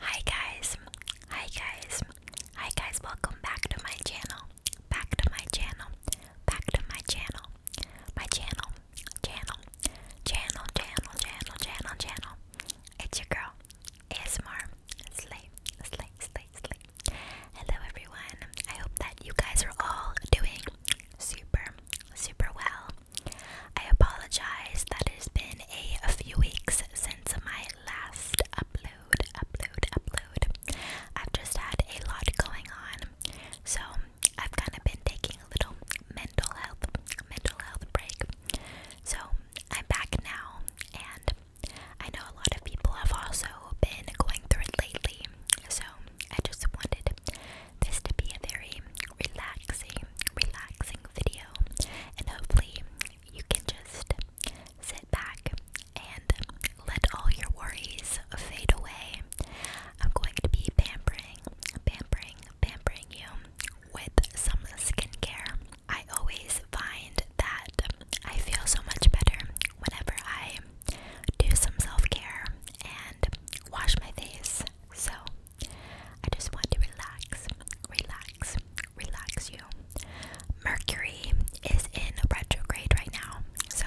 Hi guys, hi guys, hi guys, welcome back to my channel, back to my channel, back to my channel, my channel, channel, channel, channel, channel, channel, channel. It's your girl, ASMR, Slay, Slay, Slay, Slay. Hello everyone, I hope that you guys are all doing super, super well. I apologize that it's been a, a few weeks since since my last upload, upload, upload. I've just had a lot going on. So I've kind of been taking a little mental health, mental health break. So I'm back now and I know a lot of people have also been going through it lately. So I just wanted this to be a very relaxing, relaxing video, and hopefully you can just sit back and let all your worries fade away. I'm going to be pampering, pampering, pampering you with some skincare. I always find that I feel so much better whenever I do some self care and wash my face. So I just want to relax, relax, relax you. Mercury is in retrograde right now, so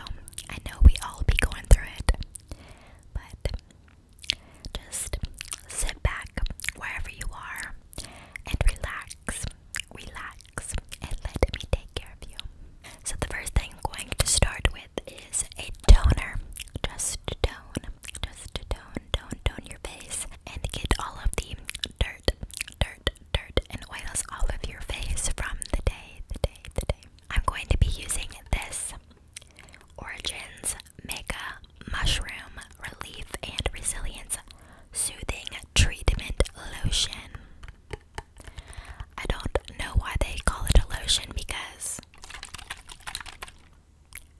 I know we all be going through it. But just sit back wherever you are and relax, relax, and let me take care of you. So, the first thing I'm going to start with is a toner. Just tone, just tone, tone, tone your face and get all of the dirt, dirt, dirt, and oils off of your face from the day, the day, the day. I'm going to be using this Origins Mega Mushroom Relief and Resilience Soothing Treatment Lotion. I don't know why they call it a lotion because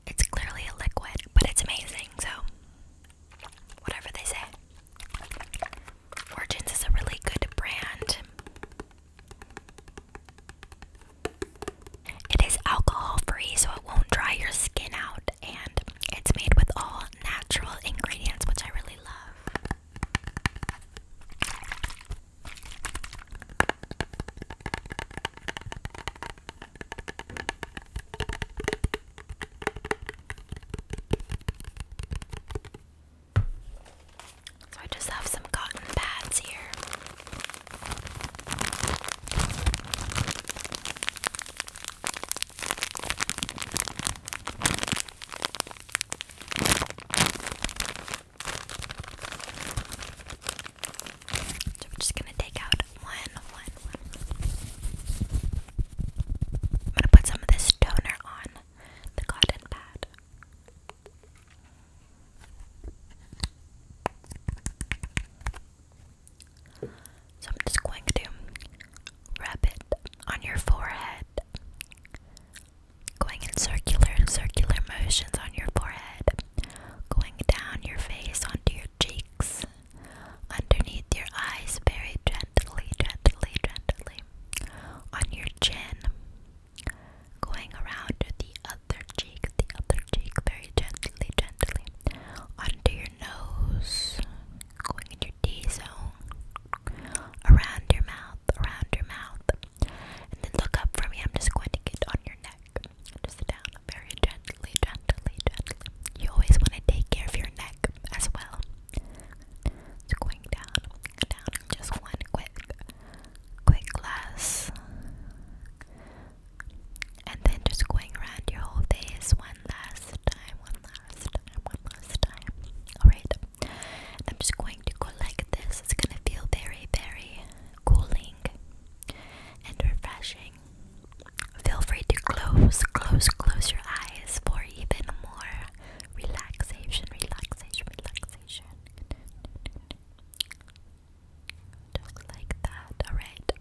it's clearly a liquid, but it's amazing, so whatever they say. Origins is a really good brand. It is alcohol free, so it won't dry your skin out, and it's made with all natural ingredients, which I really love. So I just have some cotton pads here. So we just gonna take out one, one, one. I'm gonna put some of this toner on the cotton pad. So I'm just going to wrap it on your forehead. Going in circular, circular motions on your forehead going down your face onto your cheeks, underneath your eyes, very gently, gently, gently, on your chin, going around the other cheek, the other cheek, very gently, gently, onto your nose, going in your D zone, around your mouth, around your mouth, and then look up for me. I'm just going to get on your neck. Just down very gently, gently, gently. You always want to take care of your neck as well. Just going down, down. Just one quick, quick glass. And then just going around your whole face one last time, one last one last time. Alright. I'm just going to go like this. It's gonna feel very, very cooling and refreshing. Feel free to close, close, close your eyes for even more relaxation, relaxation, relaxation. Just like that. Alright.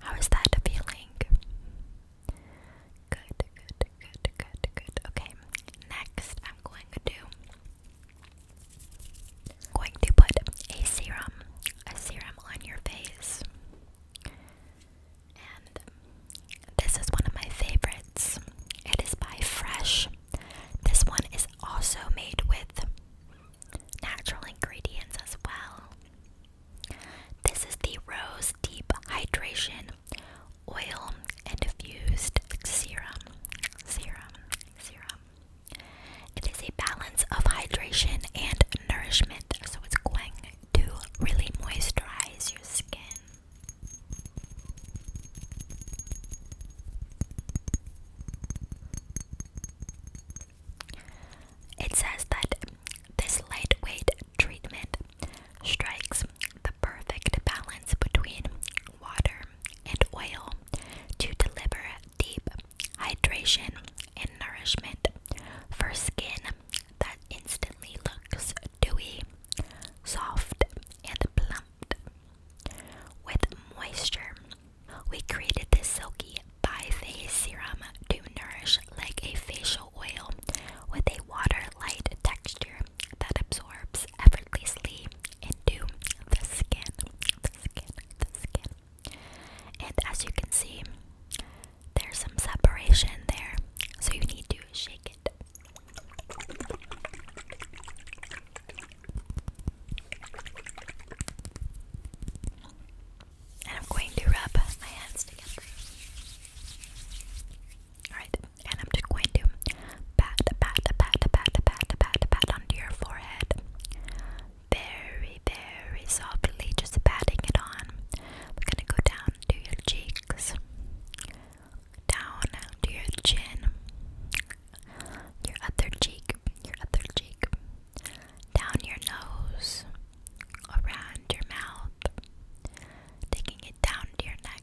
How is that feeling? Good, good, good, good, good. Okay. Next, I'm going to I'm going to put a serum, a serum on your face. And this is one of my favorites. It is by Fresh. This one is also made with natural ingredients as well. This is the Rose Deep Hydration Oil and Diffused Serum. Serum. Serum. It is a balance of hydration and nourishment, so it's going to really moisturize your skin. It says that this lightweight treatment strikes the perfect balance between water and oil to deliver deep hydration and nourishment for skin that instantly looks dewy, soft, and plumped. With moisture, we created this silky bi-phase serum to nourish like a facial oil with a water light texture that absorbs every and do the skin, the skin, the skin. And as you can see, there's some separation there, so you need to shake it. And I'm going to rub my hands together. Alright, and I'm just going to pat, pat, pat, pat, pat, pat, pat onto your forehead. Very, very softly, just patting it on. We're gonna go down to your cheeks, down to your chin, your other cheek, your other cheek, down your nose, around your mouth, taking it down to your neck,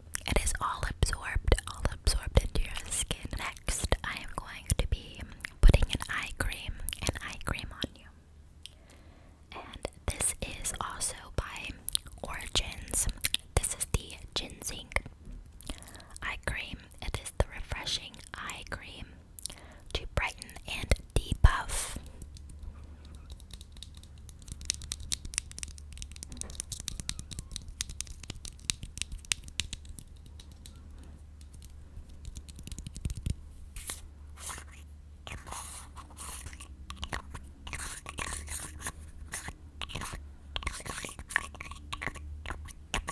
It is all absorbed, all absorbed into your skin. Next, I am going to be putting an eye cream, an eye cream on you. And this is also by Origins. This is the ginseng eye cream. It is the refreshing eye cream to brighten and debuff.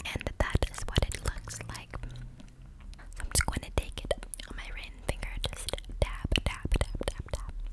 And that is what it looks like. So I'm just going to take it on my ring finger, just tap, tap, tap, tap, tap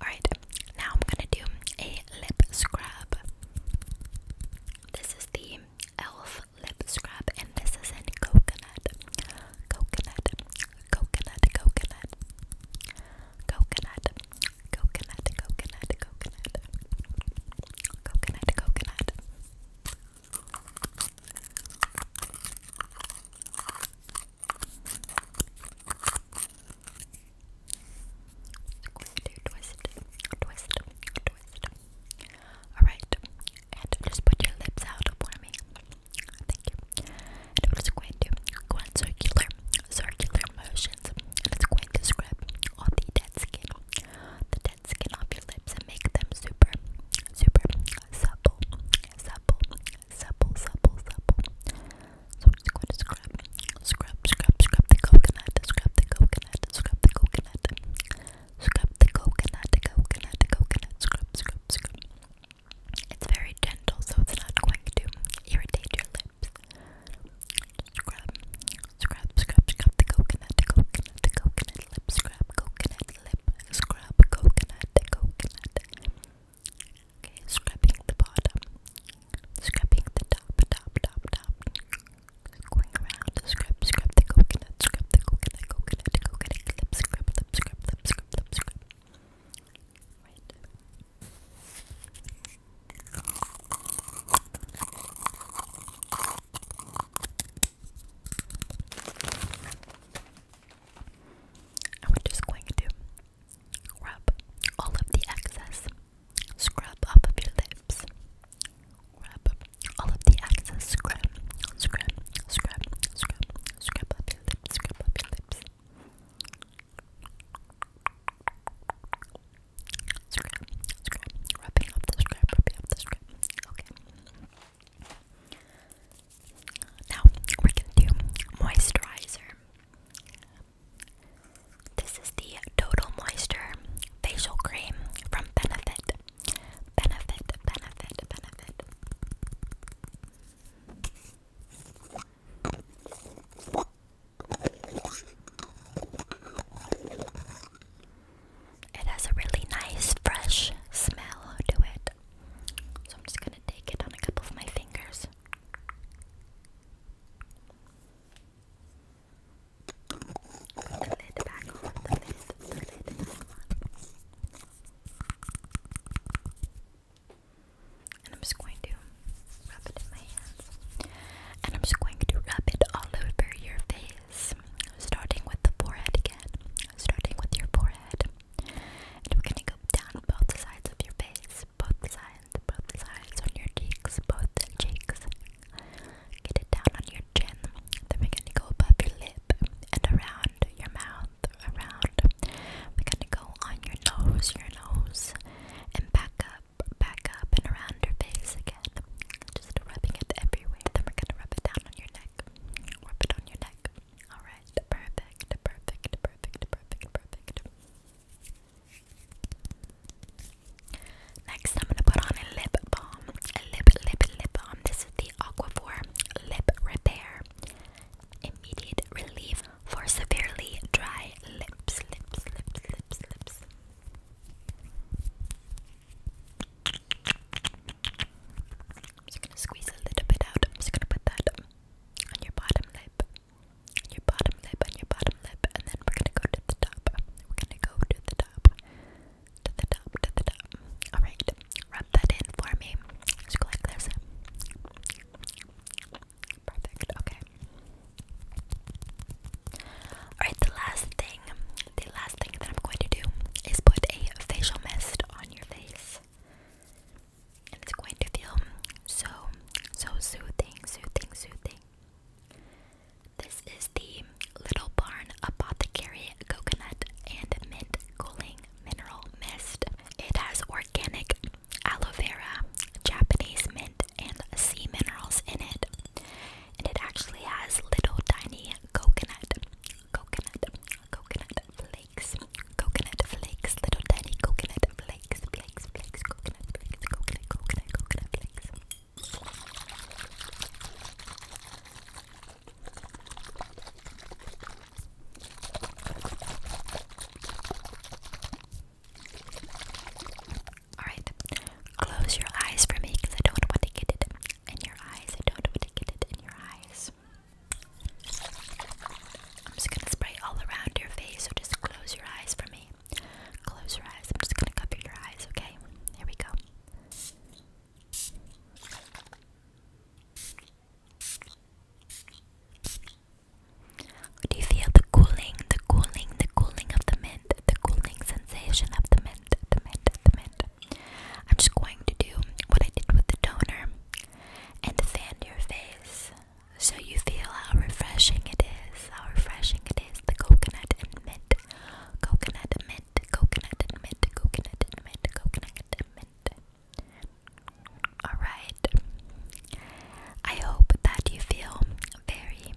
Alright, now I'm gonna do a lip scrub. This is the e.l.f. lip scrub, and this is in coconut. Coconut, coconut, coconut. Coconut, coconut, coconut, coconut. Coconut, coconut. Alright, and just put your lips out for me. Thank you. And we going to go in circular, circular motions. And it's going to scrub all the dead skin, skin off your lips and make them super, super supple, supple, supple, supple, supple. So just going to scrub, scrub, scrub, scrub the coconut, scrub the coconut, scrub the coconut, scrub the coconut, coconut, coconut, scrub, scrub, scrub. It's very gentle, so it's not going to irritate your lips. Scrub, scrub, scrub, scrub the coconut, coconut, coconut, lip scrub, coconut lip scrub, coconut, coconut. Okay, scrubbing the bottom, scrubbing the top, top, top, top. Going around, scrub, scrub the coconut, scrub the coconut, coconut, coconut lip scrub, lip scrub, lip scrub, lip scrub. Right. Okay, and we just going to rub all of the excess. Scrub off of your lips. Rub all of the excess. Scrub, scrub, scrub, scrub, scrub up your lips, scrub up your lips scrap, scrap, rubbing off the scrap, rubbing off the scrap. Okay. Now we're do moisturizer. This is the Total Moisture Facial Cream from Benefit. Benefit, benefit, benefit. It has a really nice, fresh smell to it. So I'm just gonna take it on a couple of my fingers. And I'm just going to rub it in my hands. And I'm just going to rub it all over your face face, starting with the forehead again, starting with your forehead. And we're gonna go down both sides of your face, both sides, both sides on your cheeks, both cheeks. Get it down on your chin. Then we're gonna go up your lip and around your mouth, around. We're gonna go on your nose, your nose, and back up back up, and around your face again. Just rubbing it everywhere. Then we're gonna rub it down on your neck. Rub it on your neck. Alright, perfect, perfect, perfect, perfect, perfect. Next, I'm gonna put on a lip balm. A lip, lip, lip balm. This is the Aquaphor Lip Repair. Immediate relief for severely dry lips, lips, lips, lips, lips. I'm just gonna squeeze a little bit out. I'm just gonna put that on your bottom lip, your bottom lip, on your bottom lip, and then we're gonna go to the top. We're gonna go to the top, to the top, to the top. All right, rub that in for me. Just go like this. Perfect. Okay. Alright, the last thing, the last thing that I'm going to do is put a facial mist on your face. And it's going to feel so, so soothing, soothing, soothing. This is the Little Barn Apothecary Coconut and Mint Cooling Mineral Mist. It has organic aloe vera, Japanese mint, and sea minerals in it. And it actually has little tiny coconut, coconut, coconut flakes, coconut flakes, little tiny coconut flakes, flakes, flakes, coconut flakes, coconut, coconut, coconut flakes. Alright, close your eyes for me because I don't want to get it in your eyes. I don't want to get it in your eyes. I'm just gonna spray all around your face, so just close your eyes for me. Close your eyes. I'm just gonna cover your eyes, okay? Here we go. Do you feel the cooling, the cooling, the cooling of the mint? the cooling sensation of the mint, the mint, the mint. I'm just going to do what I did with the toner and fan your face so you feel how refreshing it is, how refreshing it is. The coconut and mint, coconut mint, coconut and mint, coconut mint, coconut and mint. Alright, I hope that you feel very,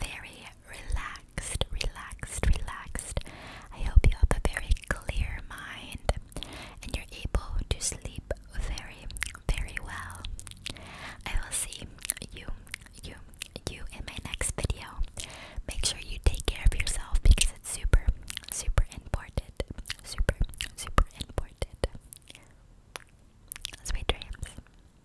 very relaxed, relaxed, relaxed. I hope you have a very clear mind and you're able to sleep very, very well. I will see you, you, you in my next video. Make sure you take care of yourself because it's super, super important. Super, super important. Sweet dreams.